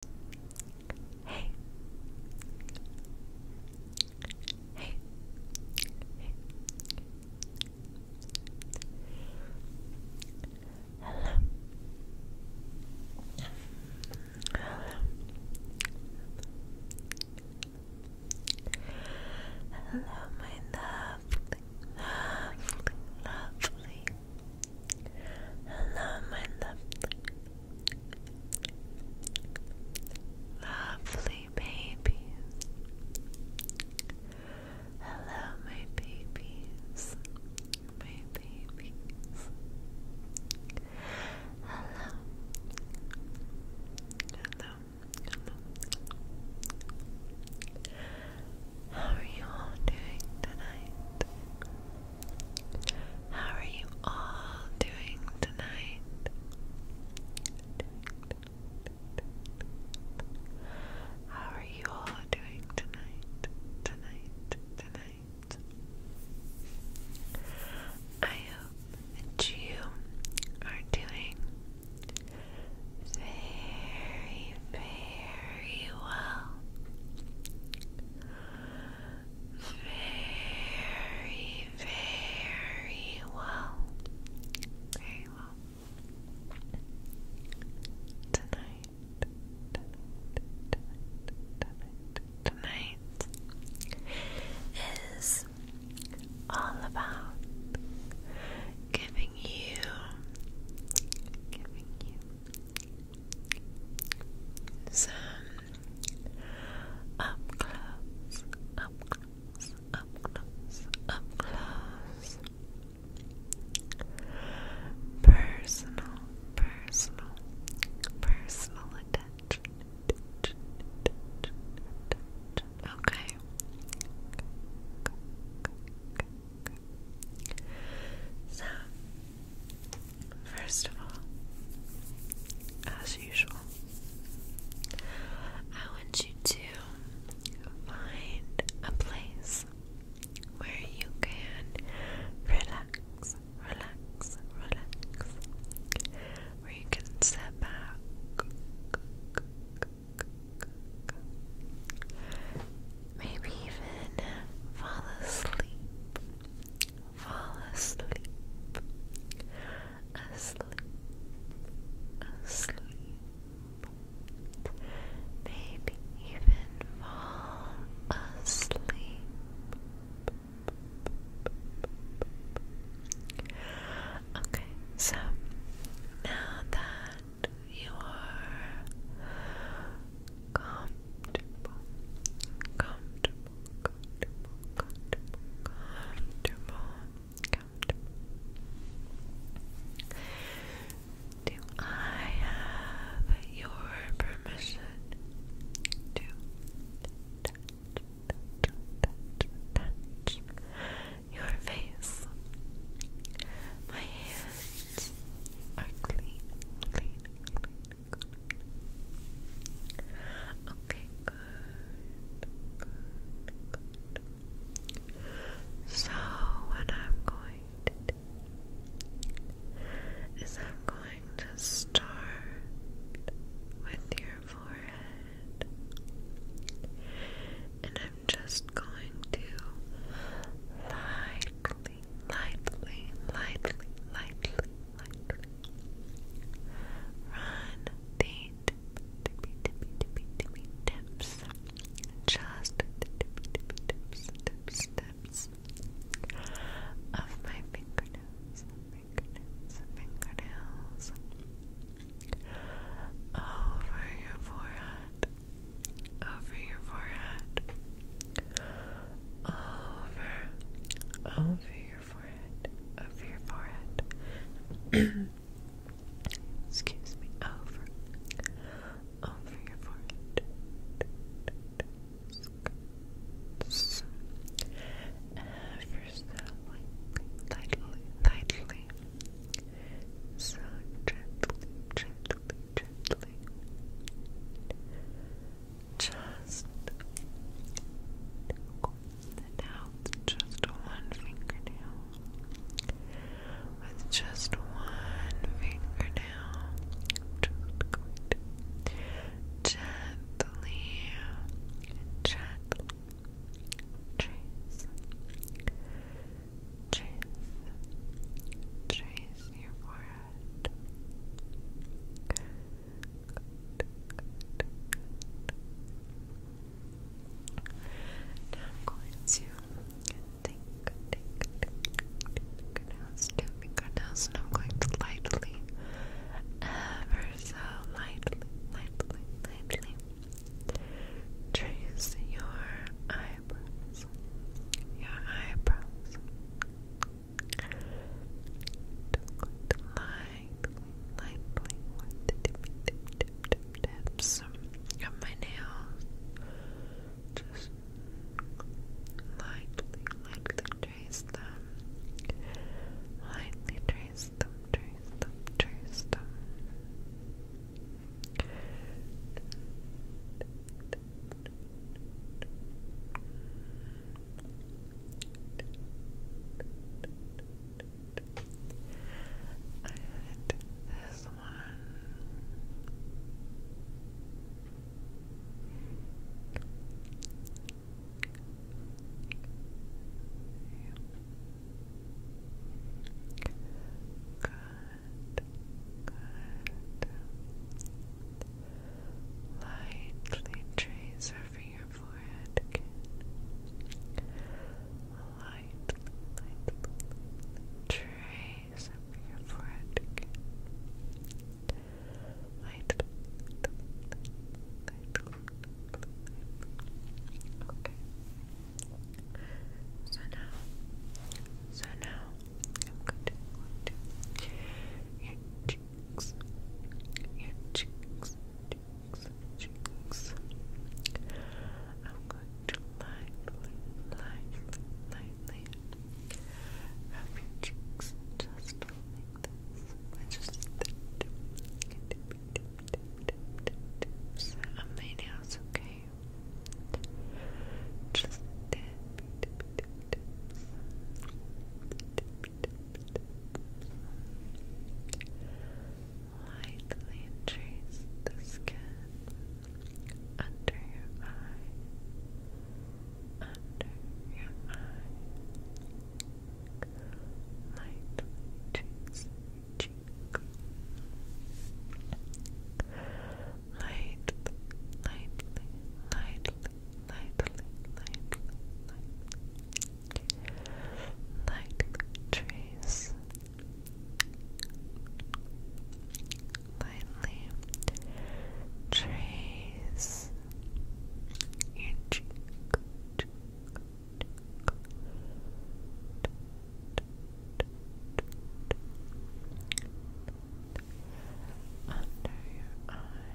Hey. Hey. Hey. Hello. Hello. Hello, my lovely, lovely, lovely, Hello, my lovely, babies. Hello, my babies, my babies. Hello, hello, hello. How are you all doing tonight? How are you all doing tonight? How are you all doing tonight? Tonight, tonight. I hope that you are doing very, very well very, very well. Very well. Tonight, tonight, tonight, tonight is all about giving you, giving you, some up close, up close, up close, up close. Personal, personal, personal attention. Okay. So First of all, as usual, I want you to find a place where you can relax, relax, relax, where you can sit back. Maybe even fall asleep fall asleep, asleep, asleep, maybe even fall asleep. Okay, so now that you are comfortable, comfortable, comfortable, comfortable, comfortable, comfortable. Do I have your permission to touch, your face? My hands are clean, clean, clean, Okay, So what I'm going to do is I'm going to start with your forehead. And I'm just going to lightly, lightly, lightly, lightly, lightly, lightly. Run the tippy, tippy, tippy, tippy tips. Just the tippy, tippy of my fingernails, fingernails, fingernails. Over your forehead, over your forehead, over, over your forehead, over your forehead. Excuse me, over, over your forehead. Ever so lightly, lightly, lightly. So gently, gently, gently just it out just one fingernail with just one fingernail just gently gently trace trace trace your forehead Good. Good, good. Now I'm going to take, take, take, take fingernails, two fingernails, and I'm going to lightly, ever so lightly, lightly, lightly trace your eyebrows, your eyebrows. Good, tips of my nails. Just lightly, lightly trace them. Lightly trace them, trace them, trace them. And this one. Good, good lightly trace over your forehead Lightly, trace over your forehead Lightly, Okay. So now, so now, cheeks, your cheeks, cheeks, cheeks. I'm going to lightly, lightly, lightly rub your cheeks just like this. I just tips on my nails, okay? Just tip, tip, Lightly trace the skin under your eye, under your eye. Lightly trace your cheek. Lightly, lightly, lightly lightly, lightly, lightly, trace, lightly trace your cheek. Under your eye,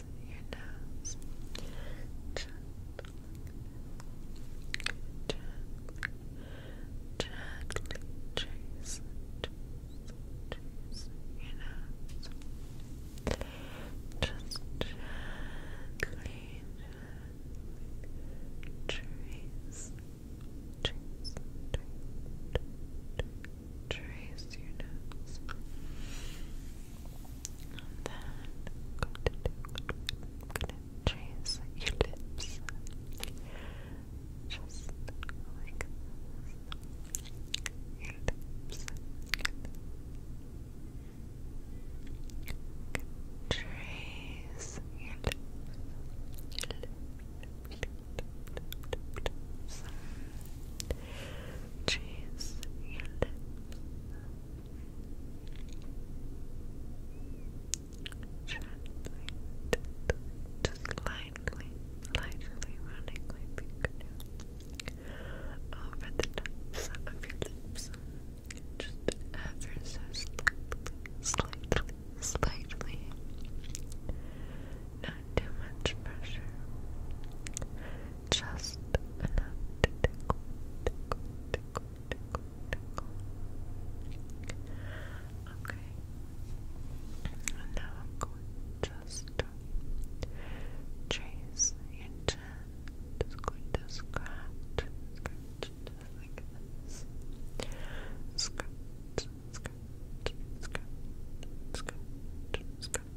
nose, your nose. Gently, gently, gently trace, trace, trace your nose. Just gently, gently trace, trace, trace your nose. then trace your lips. Just like Your lips. Trace Your lips. Cheese just lightly, lightly running my over the tops of your lips. Just ever so slightly, slightly, slightly. Not too much pressure just enough Okay. And now I'm going just trace your Just going to scratch, Scratch, scratch, scratch, scratch, scratch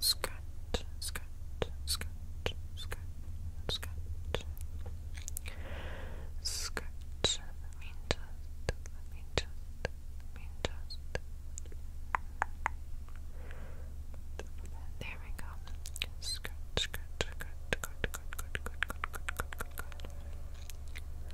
Scratch, scratch, scratch, scratch, scratch. Scratch. Let me just, let me just, let me just. There we go. Scratch, scratch, scratch, scratch, scratch, scratch, scratch, scratch, scratch, scratch, scratch.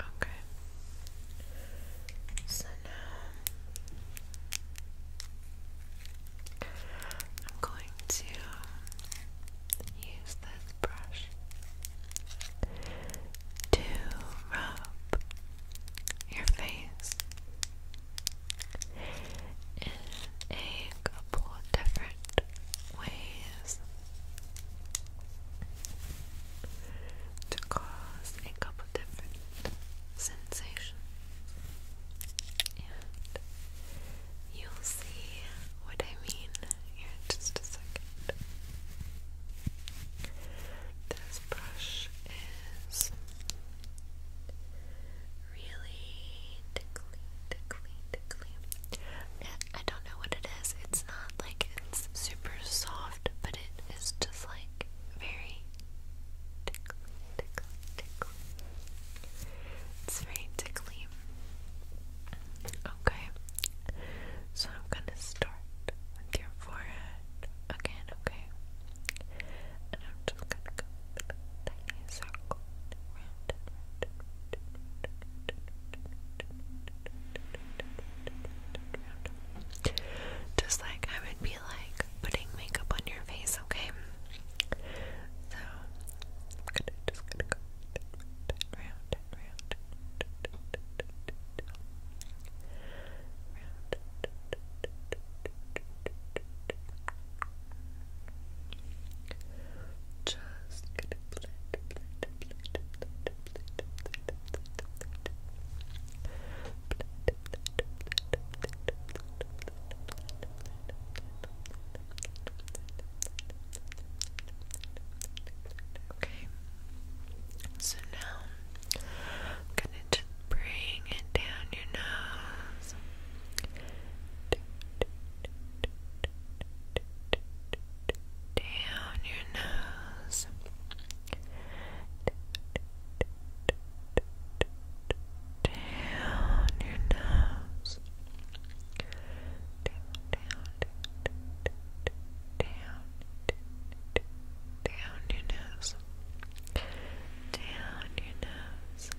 Okay. So now I'm going to use this brush to rub your face in a couple different ways to cause a couple different sensations, and you'll see what I mean in just a second. This brush is really tickly, tickly, I don't know what it is. It's not like it's super soft, but it is just like very tickly, tickly, tickly. It's very tickly. Okay. So I'm gonna start with your forehead again, okay? And I'm just gonna go with just like I would be like putting makeup on your face, okay? So I'm gonna, just gonna go round and round, round. Just Okay. So now I'm gonna just bring it down your nose down your nose. Down your nose. Down, down, down, your nose. Down your nose.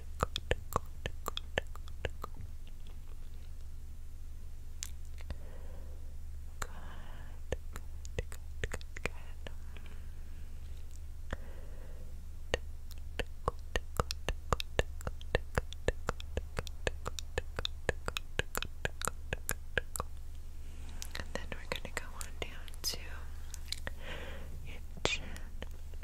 And then we're going to go on down to your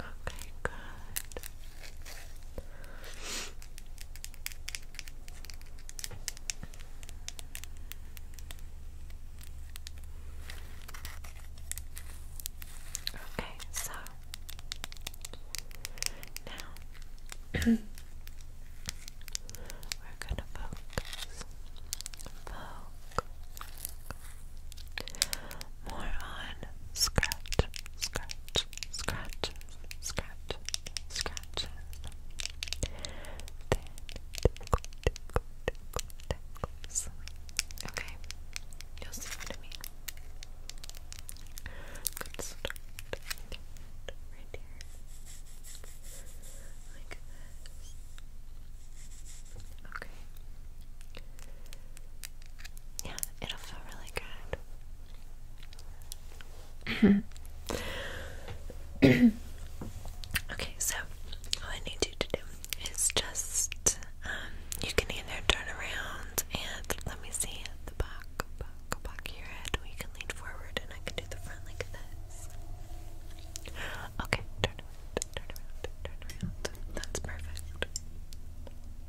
Okay, good. Okay, so now we're gonna focus, focus, more on scratch, scratch, scratch, scratches, scratches. Okay, you'll see what I mean. Right here. Like Okay. Yeah, it'll feel really good. okay, so all I need you to do is just um, you can either turn around and let me see the back, back, back of your head. Or can lean forward, and I can do the front like this. Okay, turn around, turn around, turn around. That's perfect.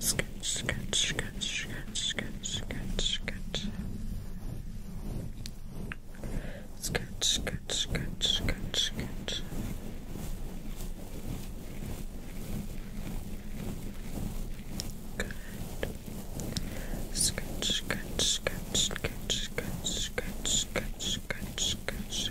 Sketch, sketch, sketch, sketch, sketch, sketch, sketch. Sketch, sketch, sketch, sketch, sketch. Good. Sketch, sketch, sketch, sketch, sketch, sketch, sketch, sketch, sketch.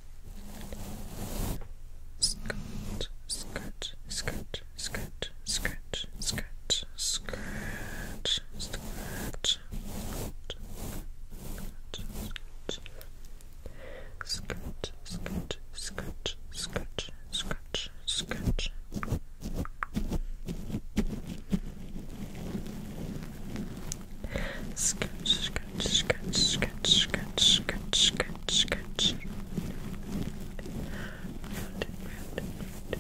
Skirt, skirt, skirt, skirt, skirt, skirt, skirt, skirt, skirt, skirt, skirt, skirt, skirt, skirt. Skirt, skirt, skirt, skirt, skirt, skirt, skirt skirt, skirt. Round and round and round.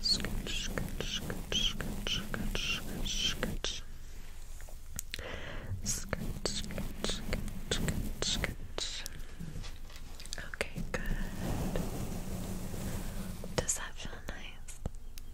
Skirt, skirt, skirt, skirt, skirt, skirt, skirt. Skirt, skirt, skirt, skirt, skirt. Okay, good. Does that feel nice?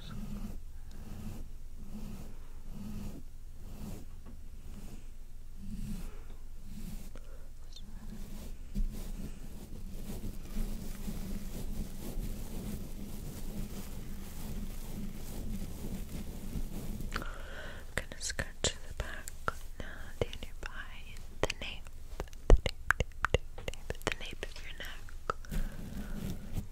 So. I'm gonna scratch the back uh, now nearby the nape, the nape, nape, nape, the nape of your neck.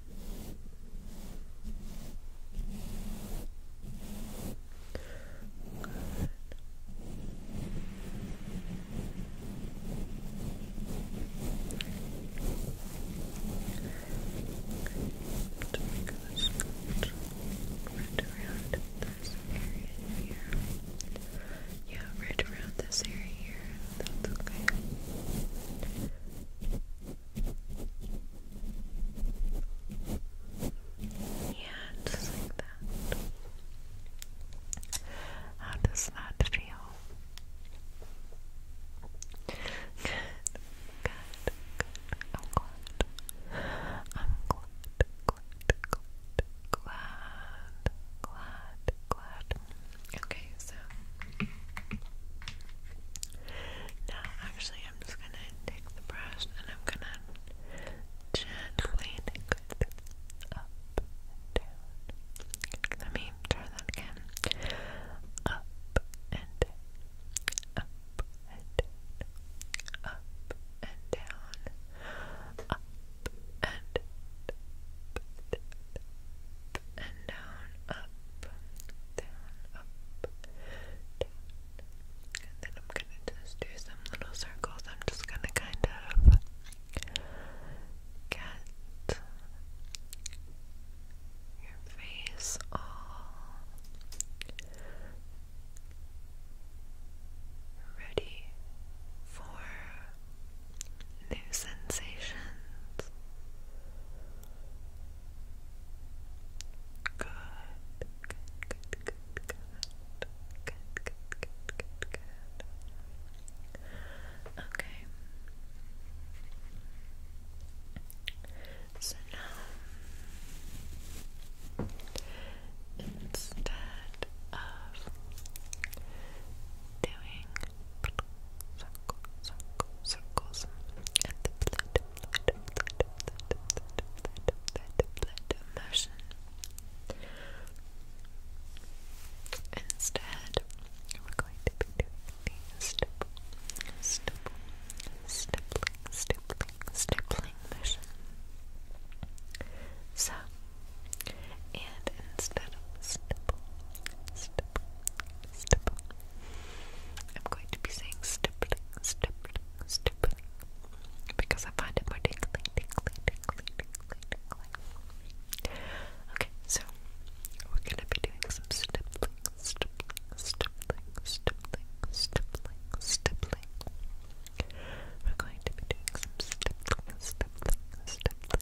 to make Right around this area here. Yeah, right around this area here. That's okay. Yeah, just like that. How does that feel? Good, I'm glad, glad, glad, glad. Okay, so now actually I'm just gonna take the brush and I'm gonna gently take it up down. Let me try that again. Up and down. Up and down. Up and down. Up and down and down, up, down, up, down. And then I'm gonna just do some little circles. I'm just gonna kind of get your face all ready for new sensations. Good, good, good, good, good, good, good, good, Okay. So now, instead of doing circle, circle, circles, and the blood, blood, blood, blood, blood, blood, motion. Instead, we're going to be doing the stipple, stipple, stippling, stippling, stippling motion. So, and instead of stipple, stipple, stipple, I'm going to be saying stippling, stippling, stippling because I find it more tingly, tingly, tingly, tingly, tingly. Okay, so we're gonna be doing some stippling, stippling, stippling, stippling, stippling, stippling. We're going to be doing some stippling, stippling, stippling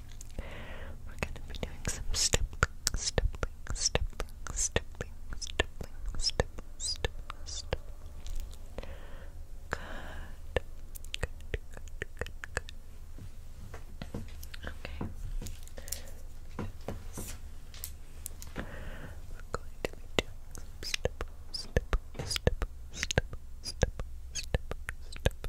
We're going to be doing some stippling, stippling, stippling, stippling, stippling, stippling, stippling, stippling. Good. Okay. We're going to be doing some stipples, stipples, stipples, stipples, stipples, stipples, stipples,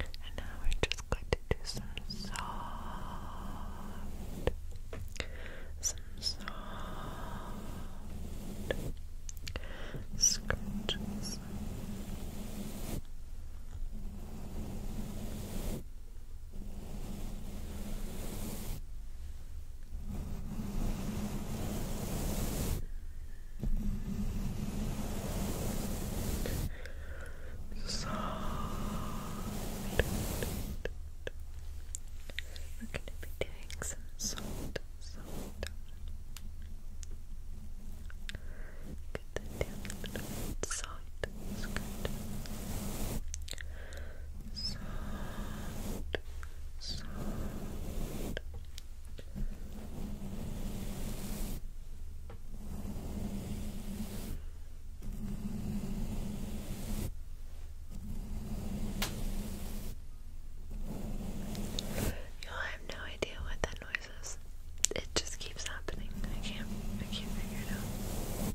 And now we're just going to do some soft, some soft scratches. Salt. We're going to be doing some salt, salt. Get that down Salt good. Salt, salt. I have no idea what that noise is. It just keeps happening. I can't I can't figure it out.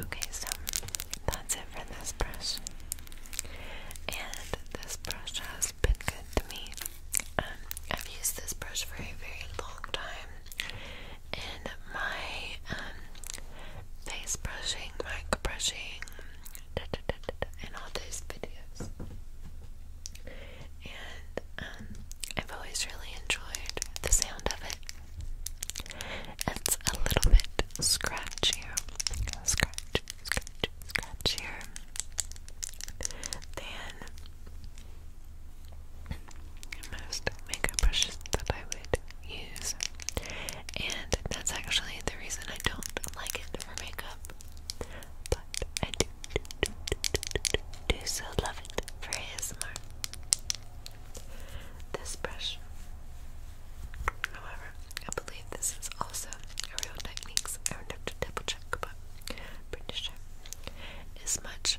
Okay, so that's it for this brush. And this brush has been good to me. Um, I've used this brush for a very long time, in my um, face brushing, mic brushing, da, and all those videos. And um, I've always really enjoyed the sound of it. It's a little bit scratchier, scratch, scratch, scratchier than most makeup brushes that I would use. And that's actually the reason I don't like it for makeup. But I do, so love it for ASMR. This brush, however, I believe this is also a Real Techniques. I would have to double check, but i Is much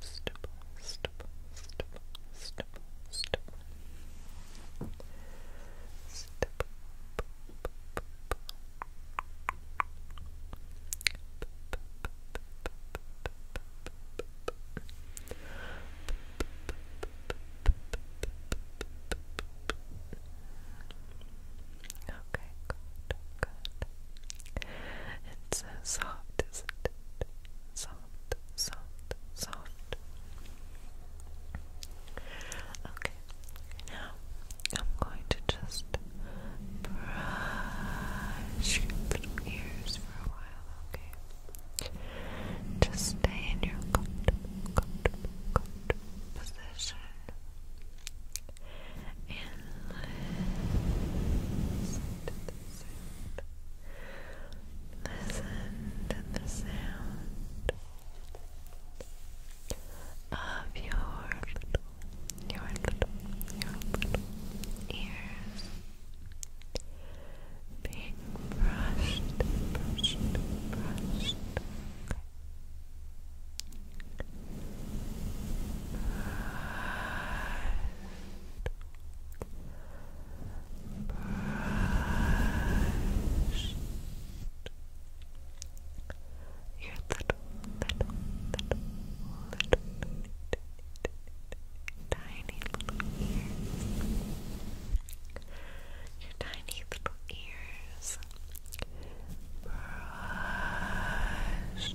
Stop. Stop. Stop. Stop. Stop. stipple, Okay, good, good. It's so uh, soft, isn't it? soft, soft, soft. Okay, now I'm going to just brush your ears for a while, okay? Just stay in your comfortable, comfortable, comfortable position. Listen to the sound. Listen to the sound of your your little, ears being brushed, Brush your little, little, little, little, tiny little ears. Your tiny little ears. Brush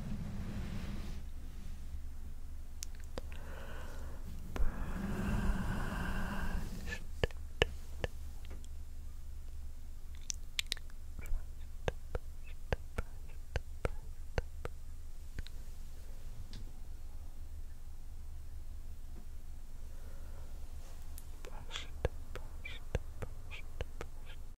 brushed, brushed, brushed.